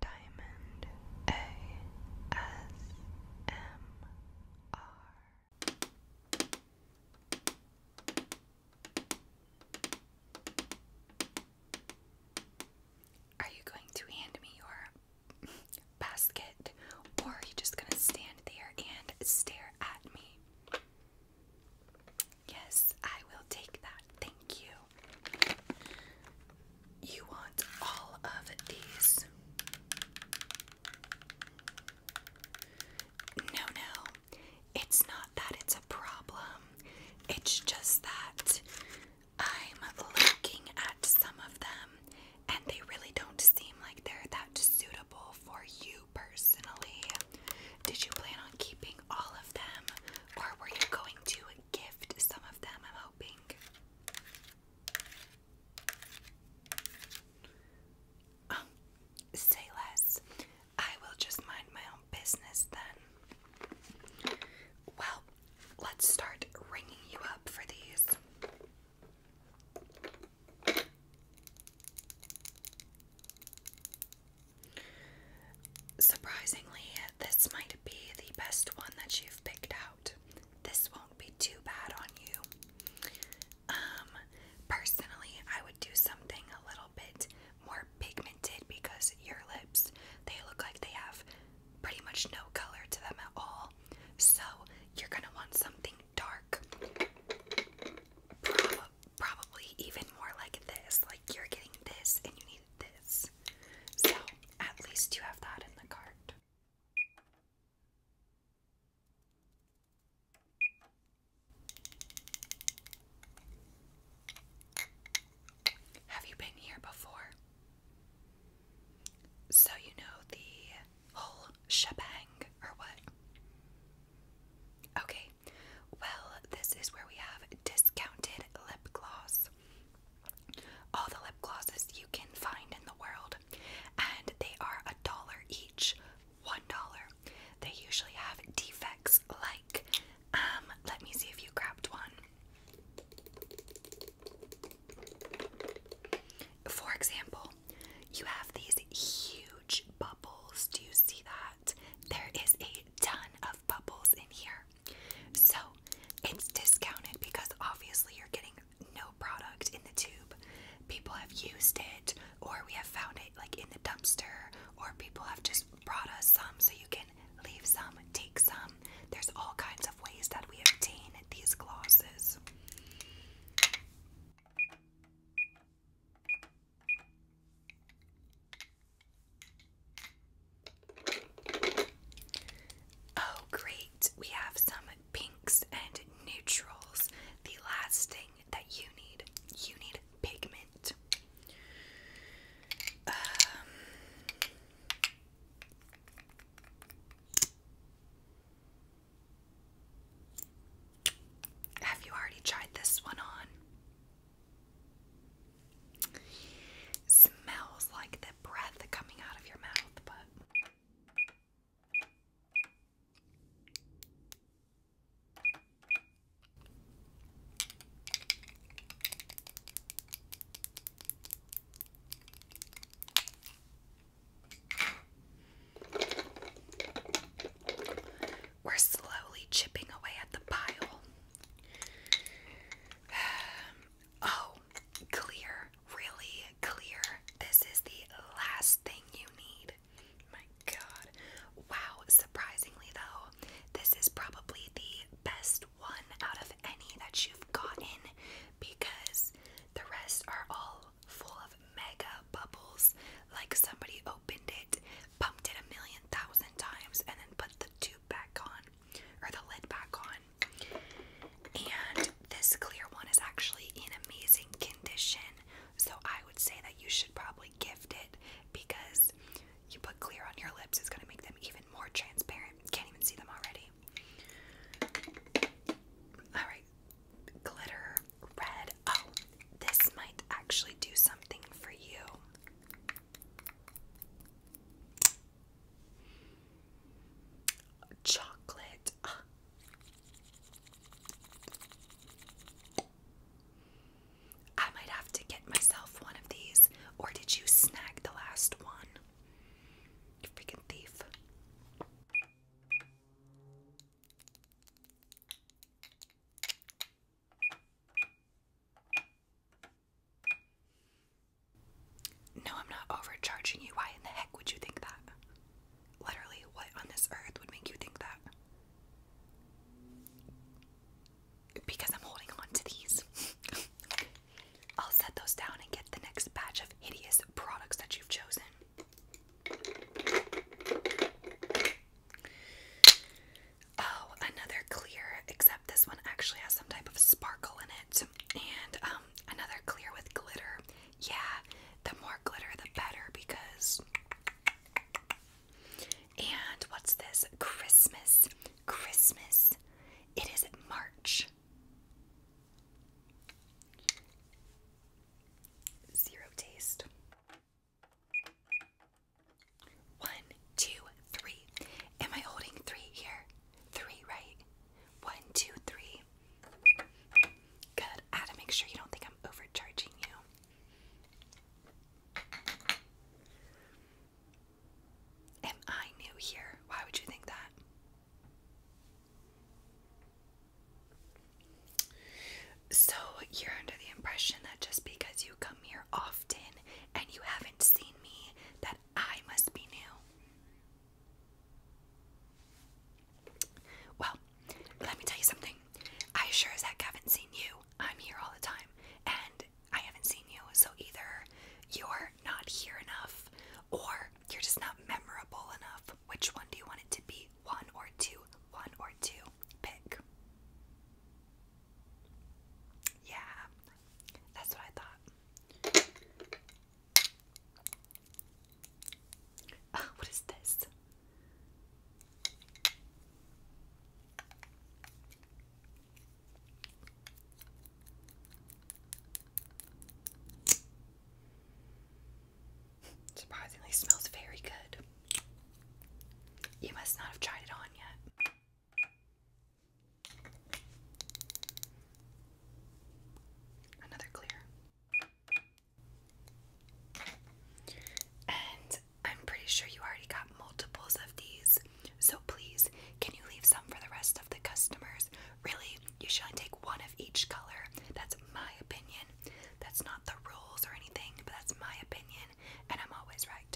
Diamond ASMR. Are you going to hand me your basket or are you just going to stand there and stare at me? Yes, I will take that. Thank you. You want all of these. No, no, it's not that it's a problem. It's just that I'm looking at some of them and they really don't seem like they're that suitable for you personally. Did you plan on keeping all of them or were you going to gift some of them, I'm hoping. Um, say less. I will just mind my own business then. Well, let's start ringing you up for these. Surprisingly, this might be the best one that you've picked out. This won't be too bad on you. Um, personally, I would do something a little bit more pigmented because your lips, they look like they have pretty much no color to them at all. So, you're going to want something dark. probably even more like this. Like you're getting this and you need this. So at least you have that in the cart. Have you been here before? So you know the whole shebang or what? Okay, well, this is where we have discounted Lip Gloss. All the lip glosses you can find in the world, and they are a dollar each. One dollar. They usually have defects like, um, let me see if you grabbed one. For example, you have these huge bubbles. Do you see that? There is a ton of bubbles in here. So it's discounted because obviously you're getting no product in the tube. People have used it, or we have found it like in the dumpster, or people have just brought us some so you can leave some, take some. There's all kinds of ways that we obtain these glosses. Oh, great. We have some pinks and neutrals. The last thing that you need. You need pigment. Um, have you already tried this one on? Smells like the breath coming out of your mouth, but. We're slowly chipping away at the pile. oh, clear. Really clear. This is the last thing you need. My god. Wow, surprisingly though, this is probably the best one out of any that you've gotten because the rest are all full of mega bubbles like somebody opened it pumped it a million thousand times, and then put the tube back on or the lid back on. And this clear one is actually in amazing condition, so I would say that you should probably gift it because you put clear on your lips, it's gonna make them even more transparent. Can't even see them already. Alright, glitter red. Oh, this might actually do something for you. Chocolate. I might have to get myself one of these. Or did you snag the last one? You freaking thief. No, I'm not overcharging you. Why in the heck would you think that? Literally, what on this earth would make you think that? Because I'm holding on to these. I'll set those down and get the next batch of hideous products that you've chosen. Oh, another clear, except this one actually has some type of sparkle in it. And um, another clear with glitter. Yeah, the more glitter, the better because. And what's this? Christmas. Christmas. It is March. Zero taste. One, two, three. Am I holding three here? Three, right? One, two, three. Good. I had to make sure you don't think I'm overcharging you. Am I new here? Why would you think that? So, you're under the impression that just because you come here often and you haven't seen me, that I must be new. Well, let me tell you something. I sure as heck haven't seen you. I'm here all the time, and I haven't seen you, so either you're not here enough or you're just not memorable enough. Which one do you want it to be? One or two? One or two? Pick. Yeah, that's what I thought. Uh, what is this? Surprisingly smells very good. You must not have tried it on yet. Another clear. And I'm pretty sure you already got multiples of these. So please, can you leave some for the rest of the customers? Really, you should only take one of each color. That's my opinion. That's not the rules or anything, but that's my opinion, and I'm always right.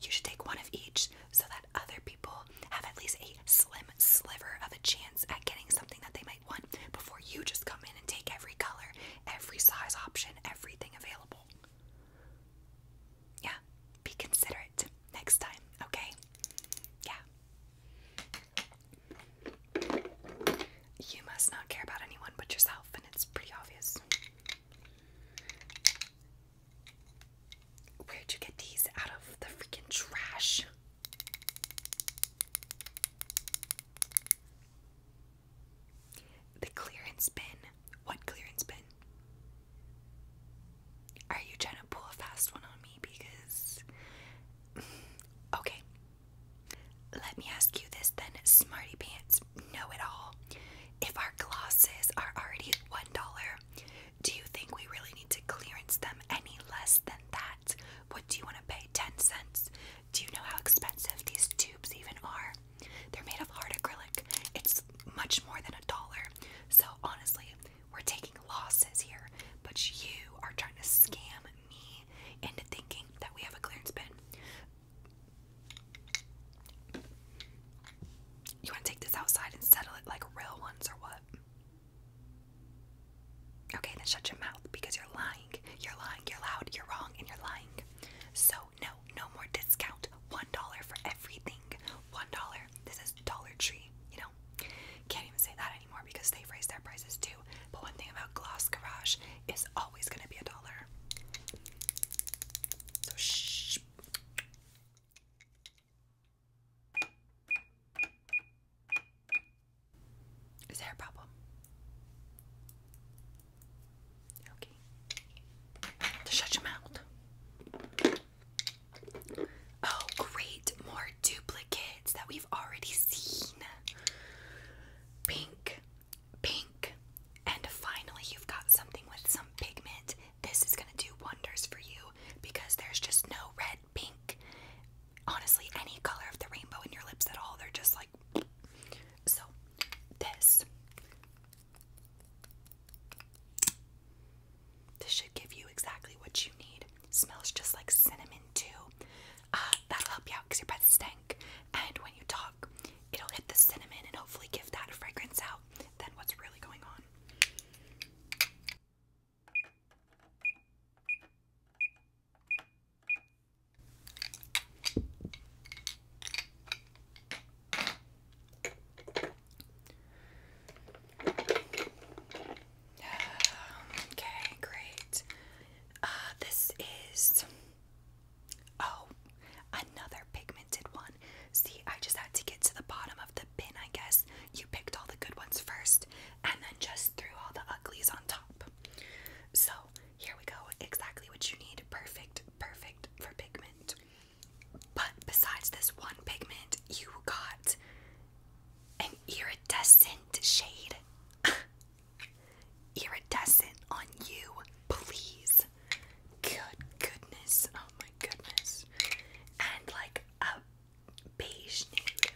You should take one of each so that other people have at least a slim sliver of a chance at getting something that they might want before you just come in and take every color, every size option, everything available. Yeah, be considerate next time, okay? Yeah you must not care about anyone but yourself, and it's pretty obvious. Where'd you get these out of the freaking trash? The clearance bin. What clearance bin? Are you trying to pull a fast one on me? Because. okay, let me ask you this then, Smarty Pants Know It All. If our glosses are already $1, do you think we really need to clearance them any less than that? What do you want to pay? 10 cents? Do you know how expensive these tubes even are? They're made of hard acrylic. It's much more than a dollar. So honestly, we're taking losses here, but you are trying to scam me into thinking that we have a clearance bin. You want to take this outside and settle it like real ones or what? Okay, then shut your mouth because you're lying. You're lying. You're loud. You're wrong, and you're lying. So no, no more discount. One dollar for everything. One dollar. This is Dollar Tree. You know, can't even say that anymore because they've raised their prices too. But one thing about Gloss Garage is always going to be a dollar. So shh. Is there a problem? Okay. shut your mouth. Oh, great. More duplicates that we already seen. Pink, pink, and finally you've got something with some pigment. This is gonna do wonders for you because there's just no red, pink, honestly, any color of the rainbow in your lips at all. They're just like so. This. This should give you exactly what you need. Smells just like cinnamon, too. Uh, that'll help you out because your breath stank. And when you talk, it'll hit the cinnamon and hopefully give that fragrance out than what's really going on. Okay, great. Uh, this is. Oh, another pigmented one. See, I just had to get to the bottom of the bin, I guess. You picked all the good ones first and then just threw all the uglies on top. So, here we go. Exactly what you need. Perfect, perfect for pigment. But besides this one pigment, you got an iridescent shade. iridescent on you, please. Good goodness. Oh my goodness. And like a beige nude.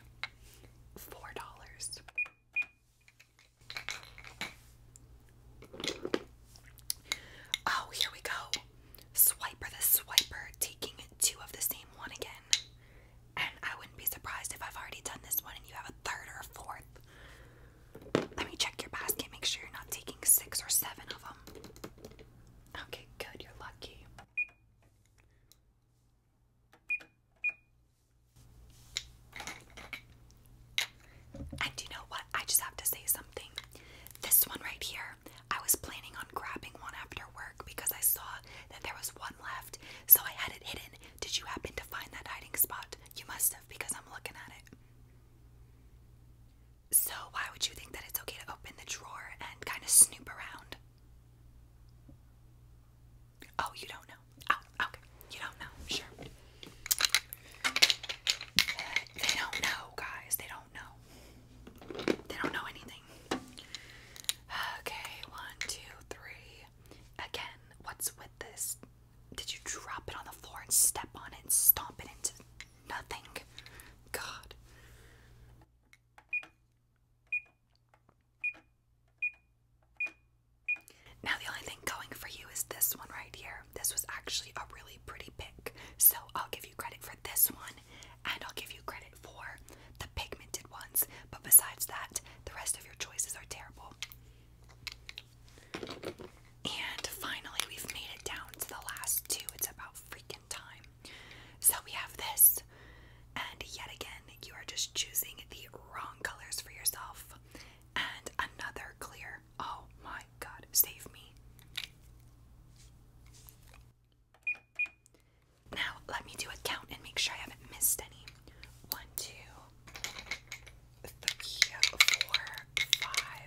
Four dollars. Oh, here we go. Swiper the swiper, taking two of the same one again. And I wouldn't be surprised if I've already done this one and you have a third or a fourth. Let me check your basket, make sure you're not taking six or seven of them. Okay, good, you're lucky. And you know what? I just have to say something. This one right here, I was planning on grabbing one after work because I saw that there was one left, so I had it hidden did you happen to find that hiding spot? You must have, because I'm looking at it. So, why would you think that it's okay to open the drawer and kind of snoop around? Oh, you don't know. Oh, okay. You don't know. Sure. They don't know, guys. They don't know. They don't know anything. Okay, one, two, three. Again, what's with this? Did you drop it on the floor and step on it and stomp it into nothing? God. Now, the only thing going for you is this one right here. This was actually a really pretty pick, so I'll give you credit for this one, and I'll give you credit for the pigmented ones, but besides that, the rest of your choices are terrible. And finally, we've made it down to the last two. It's about freaking time. So we have this, and yet again, you are just choosing the wrong colors for yourself. And another clear. Oh my god, save me. Now, let me do a count and make sure I haven't missed any. One, two, three, four, five,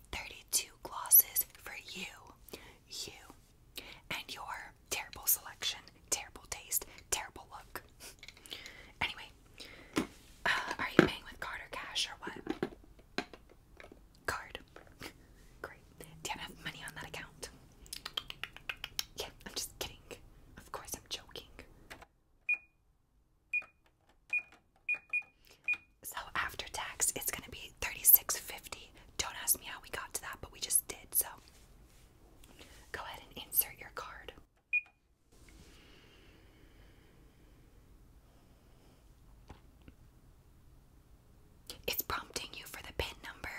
32 glosses for you, you, and your terrible selection, terrible taste, terrible look. Anyway, uh, are you paying with card or cash or what? Card. Great. Do you have money on that account? Yeah, I'm just kidding. Of course, I'm joking. So after tax, it's gonna be thirty-six fifty. Don't ask me how we got to that, but we just did. So go ahead and insert your card. It's prompting you for the pin number.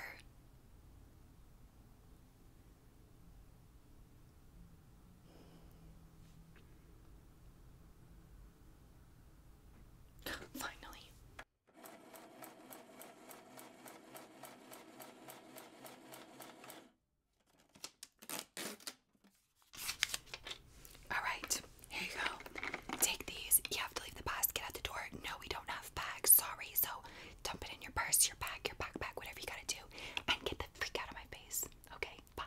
Finally. Alright, here you go. Take these. You have to leave the basket out the door. No, we don't have bags. Sorry. So dump it in your purse, your bag, your backpack, whatever you gotta do. And get the freak out of my face. Okay, bye.